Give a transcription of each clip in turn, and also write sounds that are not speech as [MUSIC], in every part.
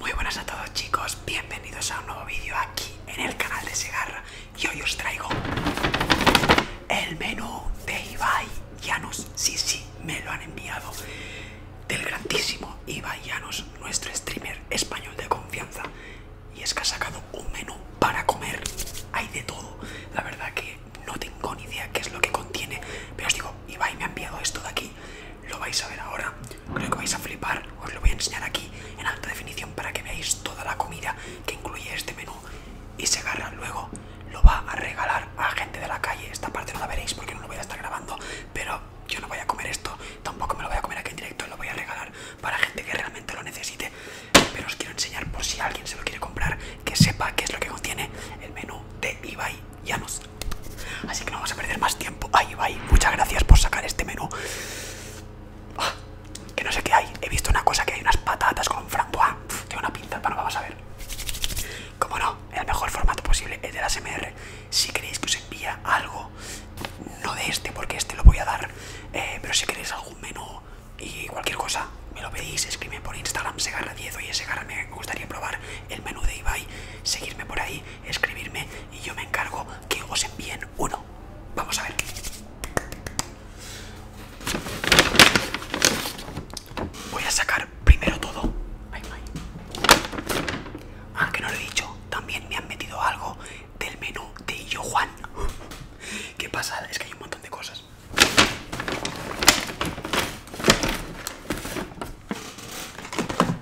Muy buenas a todos chicos, bienvenidos a un nuevo vídeo aquí en el canal de Segarra y hoy os traigo el menú de Ibai Llanos, sí, sí, me lo han enviado del grandísimo Ibai Llanos, nuestro streamer español de confianza y es que ha sacado un menú para comer, hay de todo, la verdad que no tengo ni idea qué es lo que contiene, pero os digo, Ibai me ha enviado esto de aquí lo vais a ver ahora, creo que vais a flipar, os lo voy a enseñar aquí en alta definición para que veáis toda la comida que incluye este menú y se agarra luego, lo va a regalar a gente de la calle, esta parte no la veréis porque no lo voy a estar grabando, pero yo no voy a comer esto, tampoco me lo voy a comer aquí en directo, lo voy a regalar para gente que realmente lo necesite, pero os quiero enseñar por si alguien se lo quiere comprar, que sepa qué es lo que contiene el menú de Ibai ya nos Así que no vamos a perder más tiempo. Ahí va, muchas gracias por sacar este menú. Ah, que no sé qué hay. He visto una cosa que hay unas patatas con un ah, Tiene una pinta, no vamos a ver. Como no, el mejor formato posible es de la Si queréis que os envíe algo, no de este, porque este lo voy a dar. Eh, pero si queréis algún menú y cualquier cosa, me lo pedís, escríbeme por Instagram, segarra10, oye, segarra, me gustaría probar el menú de Ibai, seguirme por ahí escribirme y yo me encargo que os envíen uno. Vamos a ver. Voy a sacar primero todo. Ah, que no lo he dicho. También me han metido algo del menú de Yo Juan. [GASPS] Qué pasa? es que hay un montón de cosas.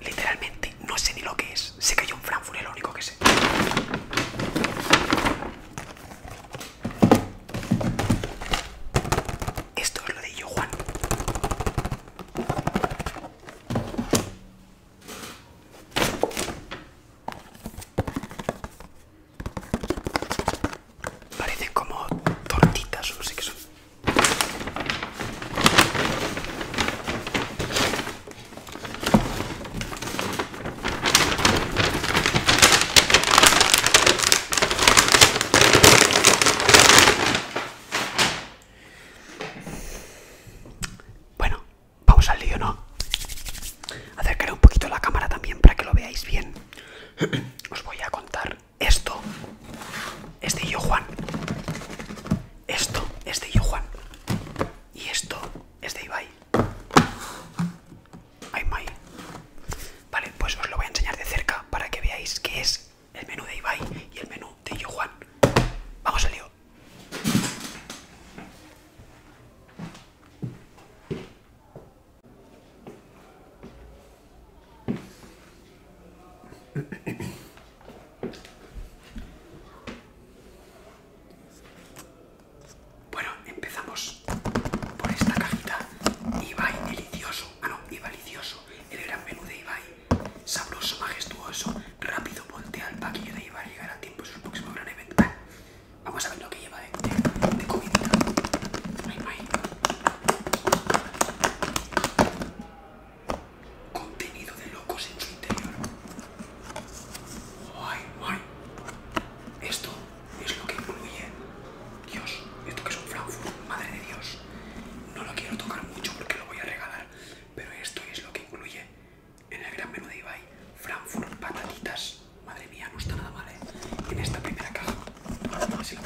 Literalmente no sé ni lo que es. se cayó un Frankfurt, es lo único que sé. Esto es lo de yo, Juan. Parecen como tortitas, no sé qué son. Bueno, vamos al lío, ¿no? Acercaré un poquito la cámara también para que lo veáis bien. [CLEARS THROAT] Os voy a contar esto es de Yo Juan. Esto es de Yo Juan. Y esto es de Ibai. Ay, Vale, pues os lo voy a enseñar de cerca para que veáis qué es el menú de Ibai y el menú de Yo Juan. Vamos al lío. Bueno, empezamos por esta cajita. Ibai delicioso. Ah, no, Ibai delicioso. El gran menú de Ibai. Sabroso, majestuoso. Rápido, voltea al paquillo de Ibai. Llegará a tiempo Es su próximo gran evento. vamos a ver lo que lleva de, de, comida contenido de locos en su interior. Esto es lo que incluye. Dios, esto que es un Frankfurt, madre de Dios. No lo quiero tocar mucho porque lo voy a regalar, pero esto es lo que incluye en el gran menú de Ibai. Frankfurt, patatitas. Madre mía, no está nada mal, ¿eh? En esta primera caja. así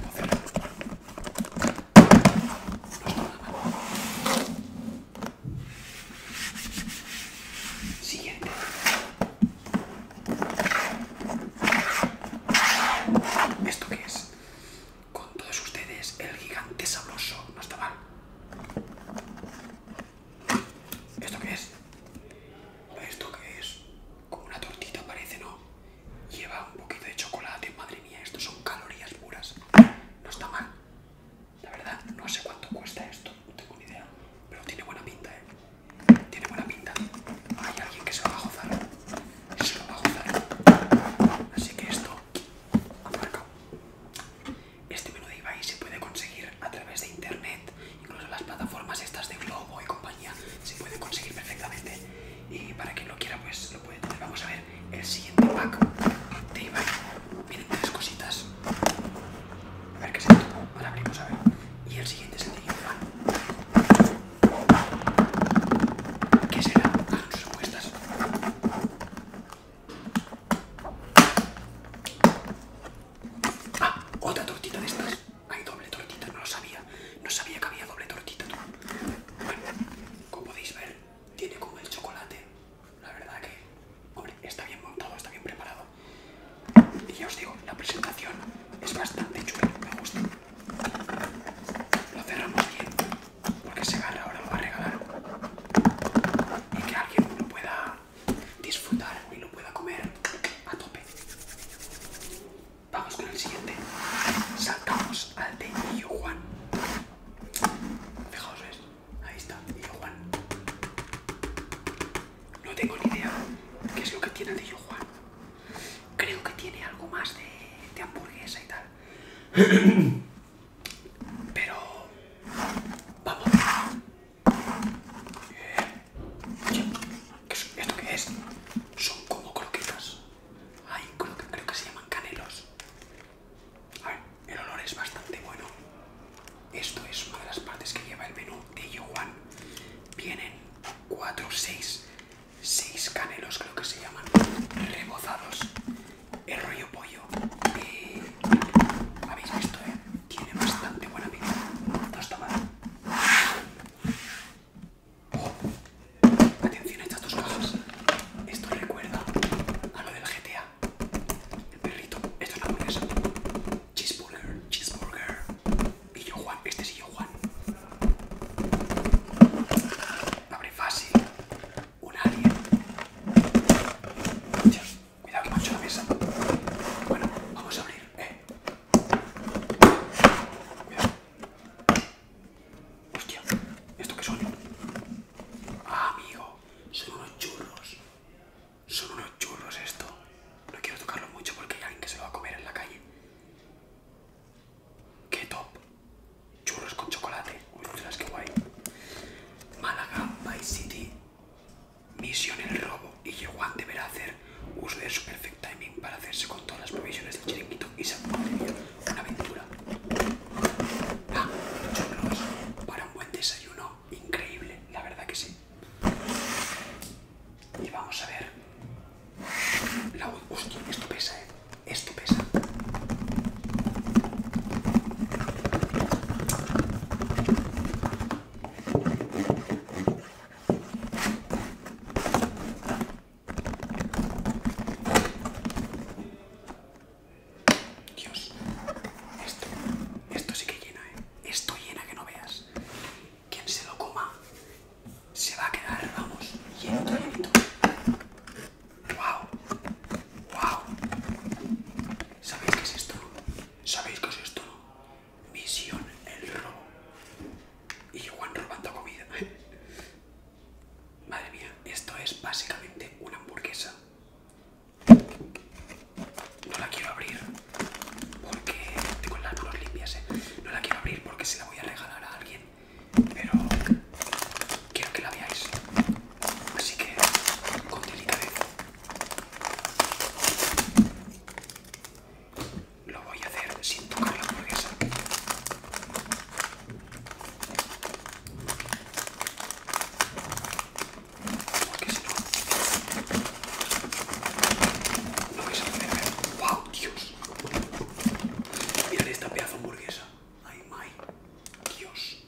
Siguiente. ¿Esto qué es? Con todos ustedes, el gigante sabroso. No está mal. ¿Esto qué es? ¿Esto qué es? Como una tortita parece, ¿no? lleva un poquito de chocolate, madre mía, esto son calorías puras. No está mal. La verdad, no sé cuánto cuesta esto, no tengo ni idea. Pero tiene buena pinta, eh. Tiene buena pinta. Hay alguien que se lo va a gozar. Se va Así que esto, marca. Este menú de Ibai se puede conseguir a través de internet, incluso las plataformas estas de Globo y compañía, se puede conseguir perfectamente y para quien lo quiera pues lo puede tener. Vamos a ver el siguiente pack de Ibai. tres cositas. A ver qué es esto, Ahora abrimos a ver. Y el siguiente es el de ¿Qué será? Hagan ah, apuestas. Ah, otra tortita de estas. Hay doble tortita, no lo sabía. No sabía que había doble tortita. Bueno, como podéis ver, tiene como el chocolate. La verdad que, hombre, está bien montado, está bien preparado. Y ya os digo, la presentación es bastante chula, me gusta. Lo cerramos bien, porque se gana ahora para va a regalar. Y que alguien lo pueda disfrutar y lo pueda comer a tope. Vamos con el siguiente. Saltamos al de Illo Juan. Fijaos, Ahí está, Illo No tengo ni idea qué es lo que tiene el de Yu Juan. Creo que tiene algo más de, hamburguesa y tal. [CLEARS THROAT] Pero... Vamos. Eh, ¿esto que es? Son como croquetas. Ay, creo que, se llaman canelos. A ver, el olor es bastante bueno. Esto es una de las partes que lleva el menú de Yowan Vienen 4, 6, 6 canelos, creo que se llaman, rebozados. El rollo pollo. Eh, habéis visto, eh? Tiene bastante buena pinta. Atención a estas dos cajas. Esto recuerda a lo del GTA. El perrito. Esto es la hamburguesa. Cheeseburger, cheeseburger. Y yo Juan. Este es yo Juan. Abre fácil. Un alien. Dios, cuidado que mancho la mesa. Bueno, vamos a abrir. Eh. Cuidado. Hostia, ¿esto qué son? Ah, amigo, son unos churros. Son unos churros esto. No quiero tocarlo mucho porque hay alguien que se lo va a comer en la calle. ¡Qué top! Churros con chocolate. Uy, ostras, qué guay. Málaga, Vice City. Misión el robo y Yehuan deberá hacer uso de su perfect timing para hacerse con todas las provisiones del chiringuito y se porquería, una aventura. Ah, para un buen desayuno, increíble, la verdad que sí. Y vamos a ver. La, hostia, esto pesa, eh. Esto pesa. Dios, esto, esto sí que llena, ¿eh? Esto llena que no veas. Quien se lo coma se va a quedar, vamos, lleno, lleno. ¡Wow! ¡Wow! ¿Sabéis qué es esto? ¿Sabéis qué es esto? Misión el robo. Y Juan robando comida. [LAUGHS] Madre mía, esto es básicamente una hamburguesa. No la quiero abrir porque tengo las manos limpias. ¿eh? No la quiero abrir porque se la voy a regalar a alguien, pero quiero que la veáis. Así que con delicadeza lo voy a hacer sin tocar la hamburguesa. Porque si no, no ¡Wow, Dios! Mirad esta pedazo hamburguesa. ¡Ay, my! ¡Dios!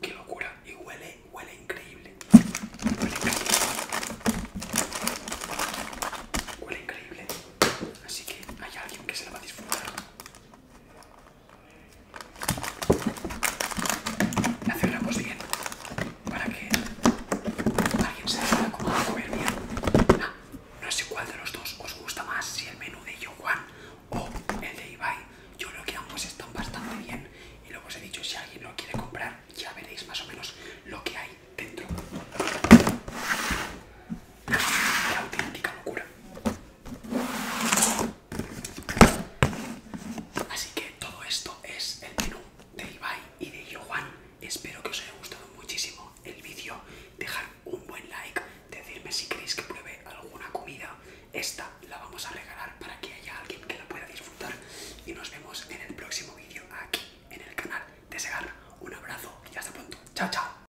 ¡Qué locura! Y huele, huele increíble. Huele increíble. Huele increíble. Así que hay alguien que se la va a disfrutar. La cerramos bien para que alguien se dé comer bien. no sé cuál de los dos os gusta más, si el menú de Johan o el de Ibai. Yo creo que ambos están bastante bien y luego os he dicho, si alguien lo quiere comprar, ya veréis más o menos lo que hay dentro. ¡Qué auténtica locura. Así que todo esto es el menú de Ibai y de Johan Espero que os haya gustado muchísimo el vídeo. Dejar un buen like, decirme si queréis que pruebe alguna comida. Esta la vamos a regalar para que haya alguien que la pueda disfrutar. Y nos vemos en el próximo vídeo aquí en el canal de Segar Un abrazo y hasta pronto. Chao, chao.